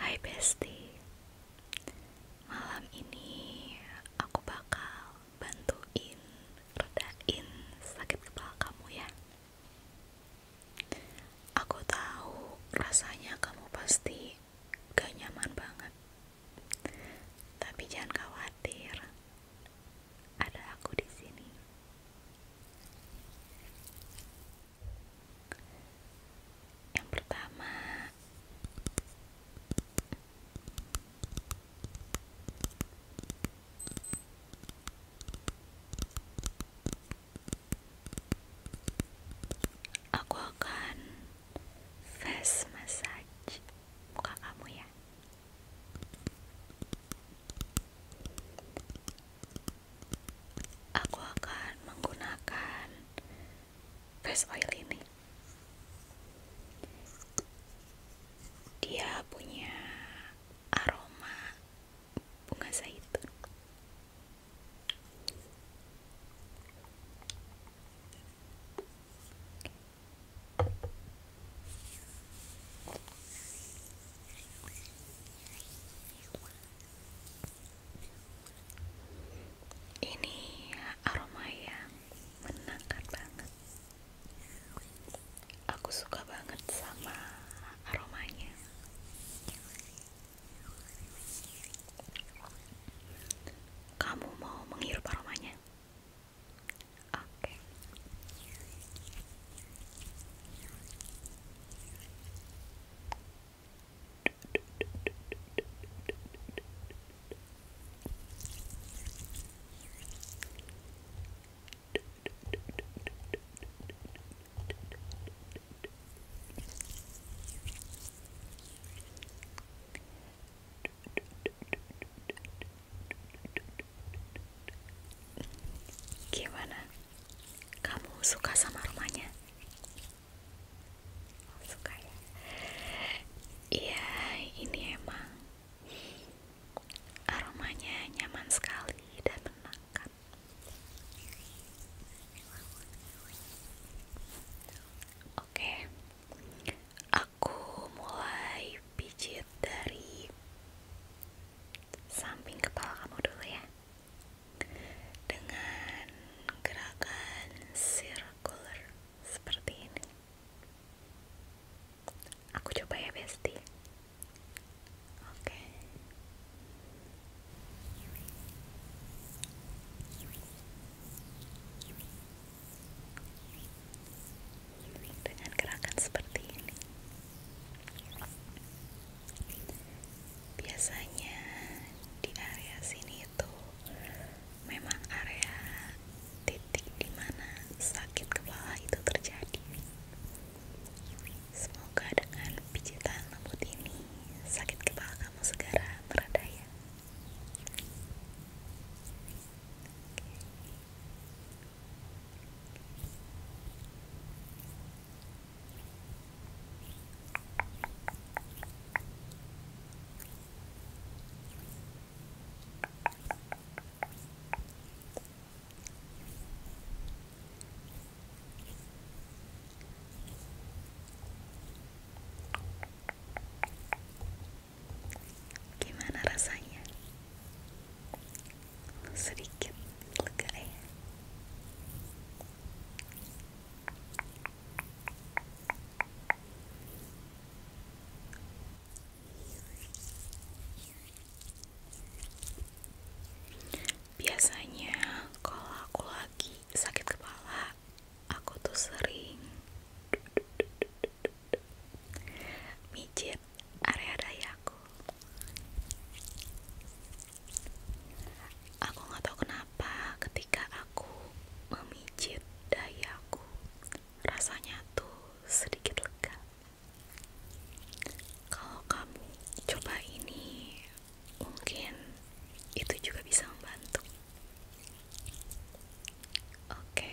Hai Bestie, Malam ini aku bakal bantuin redain sakit kepala kamu ya Aku tahu rasanya kamu pasti gak nyaman banget Tapi jangan khawatir Ada aku di sini yang pertama aku akan face massage muka kamu ya aku akan menggunakan face oil ini dia punya aroma bunga zaitun ini aroma yang menenangkan banget. Aku suka banget sama aromanya. Kamu mau menghirup aromanya? Oke, Gimana? Kamu suka sama rumahnya? suka ya iya ini emang aromanya nyaman sekali dan menenangkan oke aku mulai pijit dari samping kepala kamu dulu ya dengan gerakan circular seperti ini. Aku coba ya, Besti. Oke. Dengan gerakan seperti ini biasanya di area sini itu memang area titik di mana sakit kepala itu terjadi semoga dengan pijitan lembut ini sakit kepala kamu segera mereda ya Gimana rasanya? Sedikit lega ya? Biasanya kalau aku lagi sakit kepala, aku tuh sering mijit area dayaku. Aku nggak tahu kenapa ketika aku memijit dayaku, rasanya tuh sedikit lega. Kalau kamu coba ini, mungkin itu juga bisa membantu. Oke.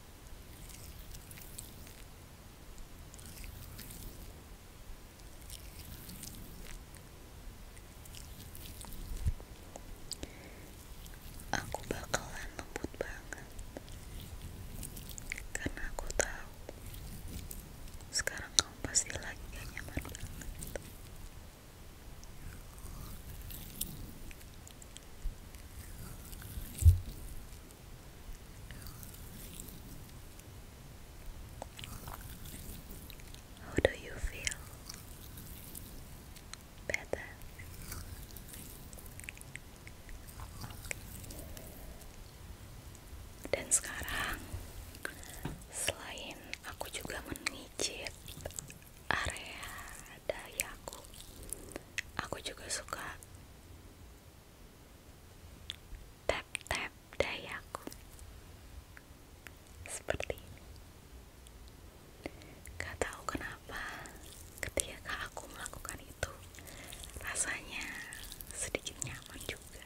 Aku bakalan lembut banget karena aku tahu sekarang kamu pasti lagi nyaman banget. How do you feel? Dan sekarang, selain aku juga mengicip area dayaku aku juga suka tap tap dayaku seperti ini tahu kenapa ketika aku melakukan itu rasanya sedikit nyaman juga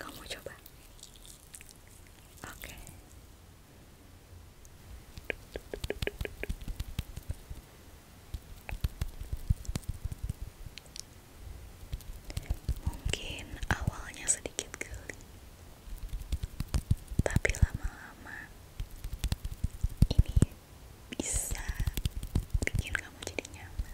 kamu coba oke Mungkin awalnya sedikit geli, tapi lama-lama ini bisa bikin kamu jadi nyaman.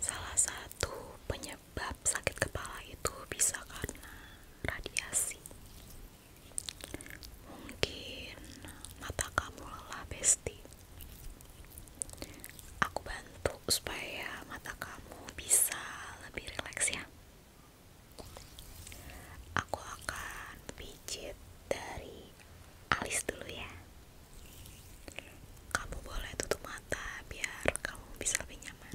Salah satu penyebab sakit kepala itu bisa karena radiasi. Mungkin mata kamu lelah, Besti. Aku bantu supaya mata kamu bisa lebih rileks ya. Aku akan pijit dari alis dulu ya. Kamu boleh tutup mata biar kamu bisa lebih nyaman.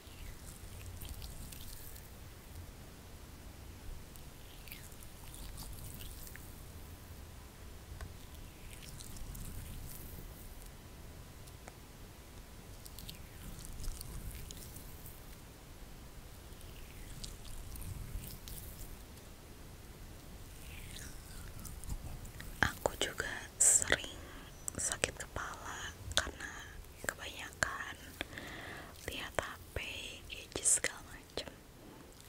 Aku juga sering sakit kepala karena kebanyakan lihat HP, gadget segala macam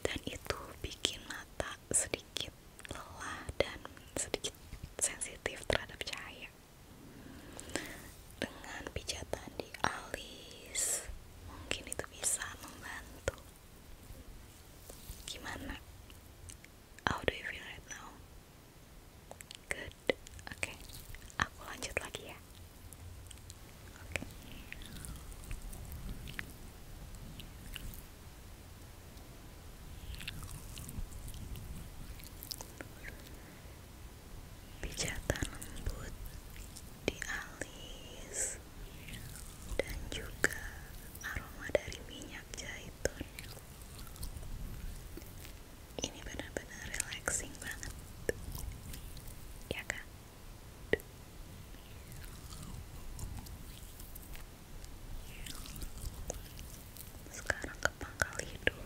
dan itu bikin mata sedikit lelah dan sedikit sensitif terhadap cahaya dengan pijatan di alis mungkin itu bisa membantu gimana? How do you feel right now? Good. Oke, aku lanjut lagi ya. Oke. Pijatan lembut di alis dan juga aroma dari minyak zaitun ini benar-benar relaxing banget ya kan sekarang ke pangkal hidung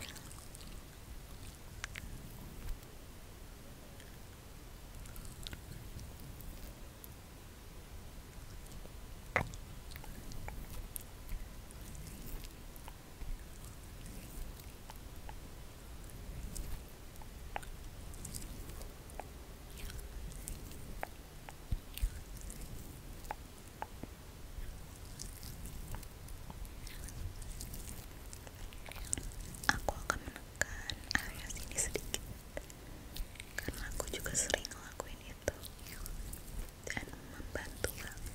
Aku akan menekan area sini sedikit karena aku juga sering ngelakuin itu dan membantu banget.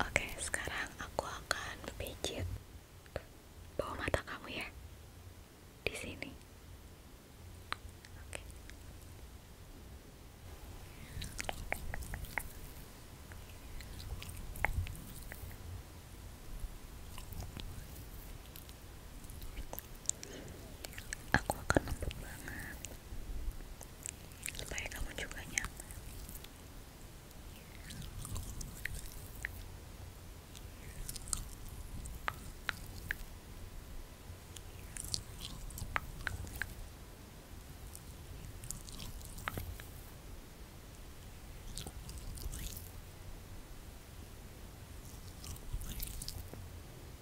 Oke, sekarang aku akan pijit bawah mata kamu ya. Di sini aku akan lembut banget supaya kamu juga nyaman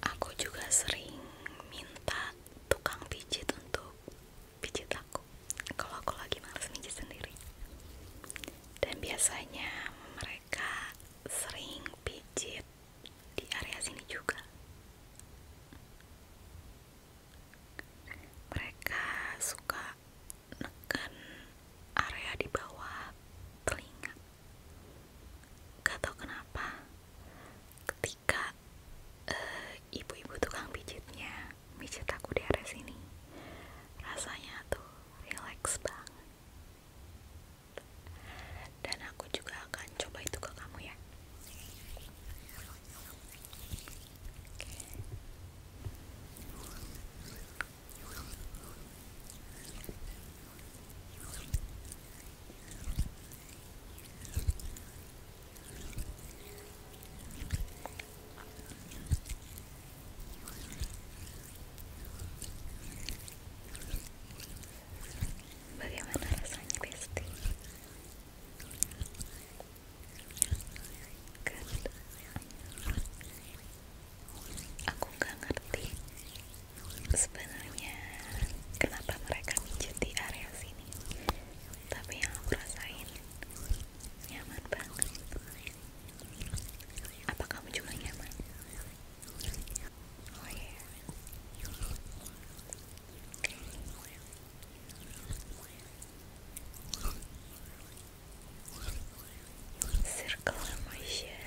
aku juga sering minta tukang pijit untuk pijit aku kalau aku lagi males pijit sendiri dan biasanya mereka sering pijit di area sini juga mereka suka neken area di bawah telinga gak tau kenapa ketika Eh, ibu-ibu tukang pijitnya pijit aku di area sini rasanya tuh relax banget dan aku juga akan coba itu ke kamu ya Bagaimana rasanya Besti? Aku gak ngerti sebenarnya kenapa mereka mijit area sini. Tapi yang aku rasain nyaman banget apa kamu juga nyaman? Oh, iya. circle motion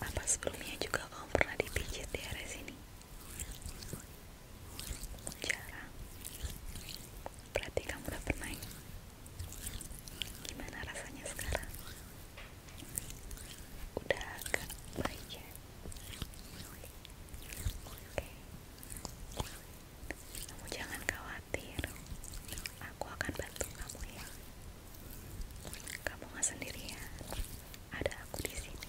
Apa sebelumnya juga kamu pernah dipijit di area sini? Jarang. Berarti kamu udah pernah. Ya? Gimana rasanya sekarang? Udah agak baik ya? kamu jangan khawatir aku akan bantu kamu ya kamu nggak sendirian ada aku di sini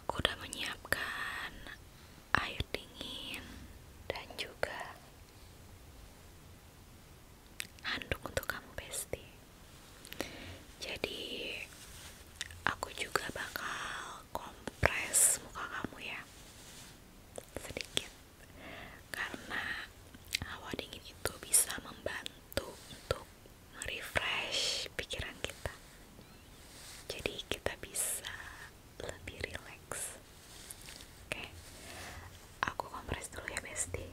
Aku udah menyiapkan air dingin dan juga handuk untuk kamu, Bestie. Jadi, aku juga bakal kompres muka kamu ya sedikit karena awal dingin itu bisa membantu untuk merefresh pikiran kita jadi kita bisa lebih rileks oke aku kompres dulu ya bestie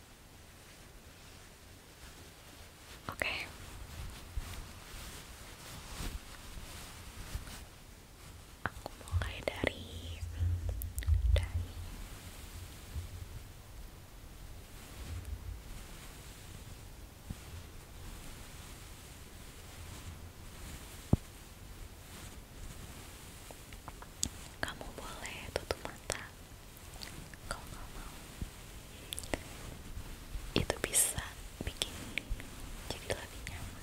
Oke, Aku mulai dari dari Kamu boleh tutup mata kalau mau itu bisa bikin jadi lebih nyaman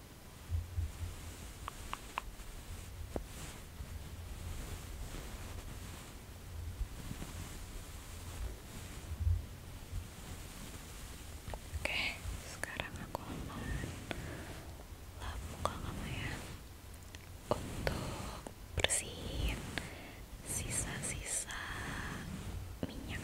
Oke, sekarang aku akan lap muka kamu ya untuk bersihin sisa-sisa minyak.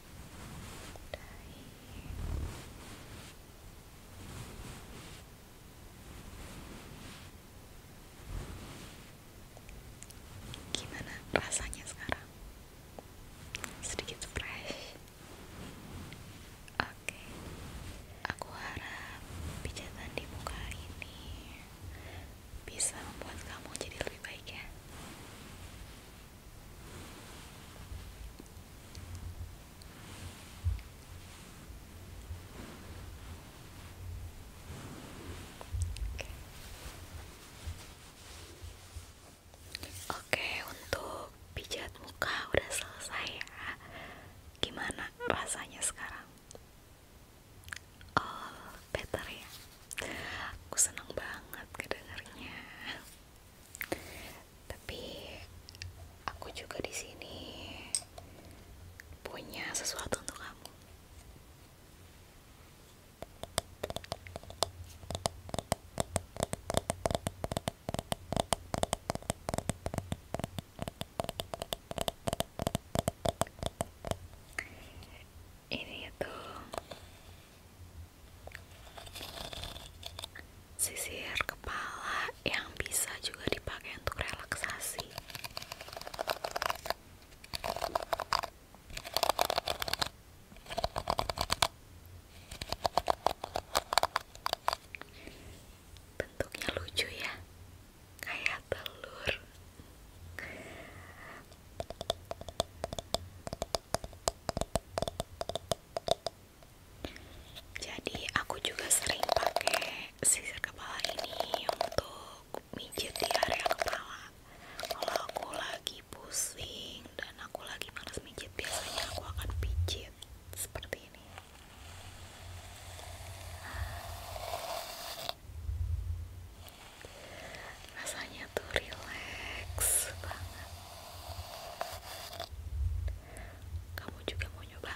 gimana rasanya sekarang sedikit fresh oke aku harap pijatan di muka ini bisa membuat kamu jadi lebih baik ya Oke, untuk pijat muka udah selesai ya. Gimana rasanya sekarang? All oh, better ya. Aku seneng banget kedengarnya. Tapi aku juga di sini punya sesuatu untuk kamu. Ini tuh Sisir kepala yang bisa juga dipakai untuk relaksasi. Bentuknya lucu ya, kayak telur. Jadi aku juga sering pakai sisir kepala ini untuk mijit di area kepala. Kalau aku lagi pusing dan aku lagi malas mijit, biasanya aku akan pijit seperti ini. Rasanya rasanya tuh relax banget kamu juga mau nyoba?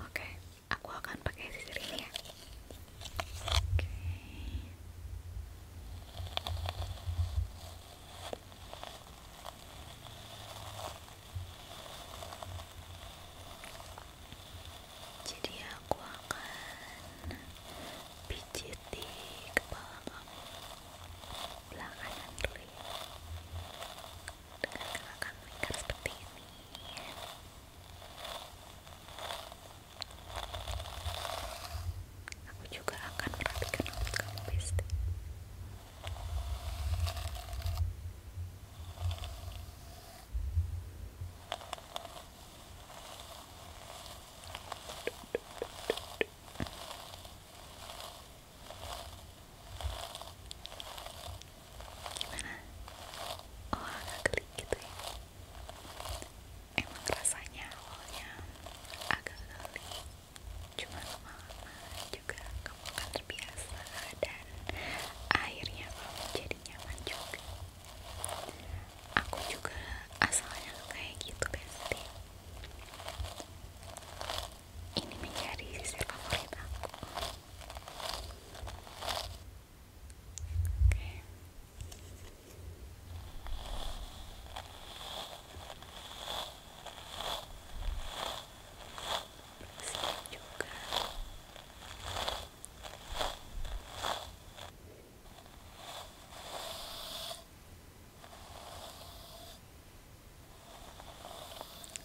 oke aku akan pakai sisir ini ya jadi aku akan pijiti kepala kamu belah kanan dulu ya dengan seperti ini aku juga akan merapikan rambut kamu Gimana? Oh agak geli gitu ya Emang rasanya awalnya agak geli Cuma lama juga kamu akan terbiasa Dan akhirnya kamu jadi nyaman juga Aku juga asalnya kayak gitu bestie ini menjadi sisir favorit aku oke Bersih juga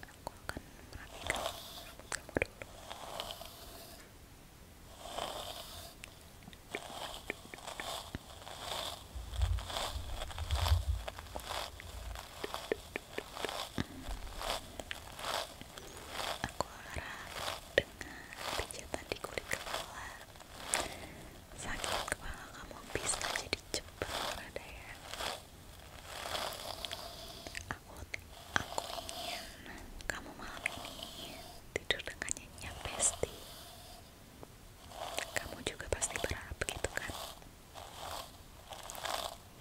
aku akan merapikan rambut kamu dulu aku olahraga dengan pijatan di kulit kepala sakit kepala kamu bisa jadi cepat berada ya? aku, aku ingin kamu malam ini tidur dengan nyenyak kamu juga pasti berharap gitu kan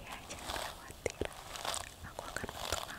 ya jangan khawatir aku akan bantu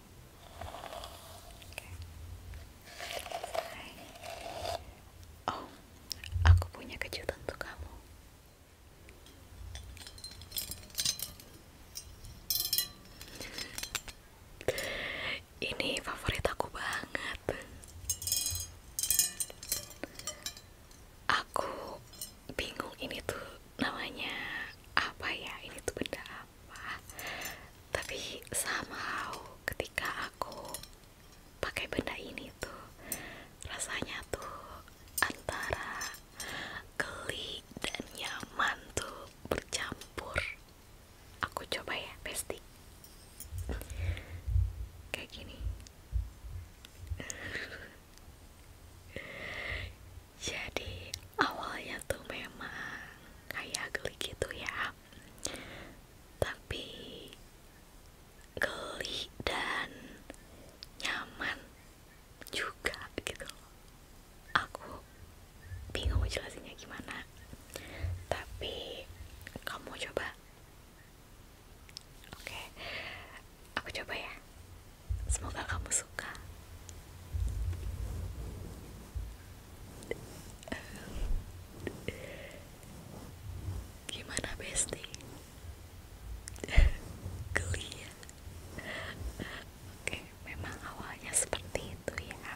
Okay. Oh, aku punya kejutan untuk kamu. Ini favorit aku banget. Aku bingung ini tuh namanya apa ya? Ini tuh benda tapi sama somehow ketika aku pakai benda ini tuh rasanya tuh antara geli dan nyaman tuh bercampur aku coba ya besti kayak gini jadi awalnya tuh memang kayak geli gitu ya tapi geli dan nyaman juga gitu aku bingung jelasinnya gimana tapi kamu coba oke aku coba ya semoga kamu suka Gimana Besti? Geli ya? Oke, memang awalnya seperti itu ya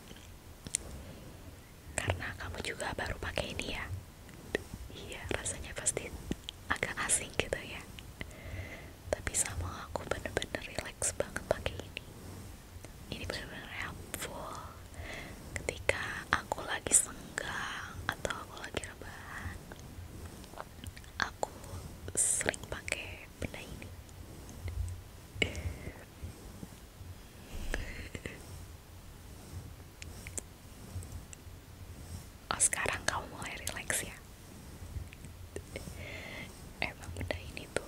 Karena kamu juga baru pakai ini ya Iya, rasanya pasti agak asing gitu ya Tapi sama aku bener-bener relax banget pakai ini ini benar-benar helpful ketika aku lagi senggang atau aku lagi rebahan aku sering pakai benda ini oh sekarang kamu mulai relax ya emang benda ini tuh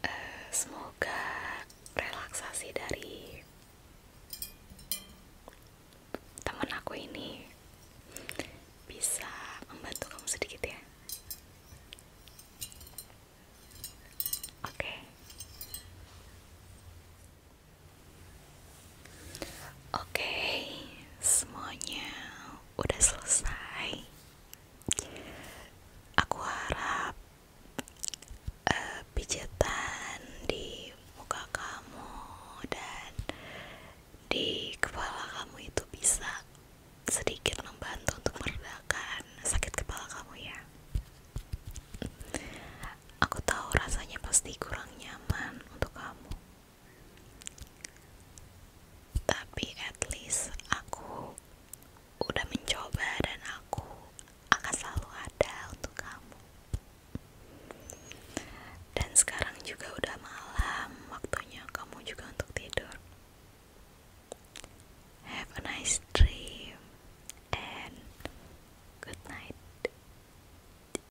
Eh, semoga relaksasi dari temen aku ini bisa membantu kamu sedikit ya. Oke. Oke, semuanya udah selesai. Aku harap eh, pijatan di muka kamu dan di kepala kamu itu bisa sedikit membantu untuk meredakan sakit kepala kamu ya. Aku tahu rasanya pasti kurang nyaman untuk kamu tapi at least aku udah mencoba dan aku akan selalu ada untuk kamu dan sekarang juga udah malam waktunya kamu juga untuk tidur have a nice dream and good night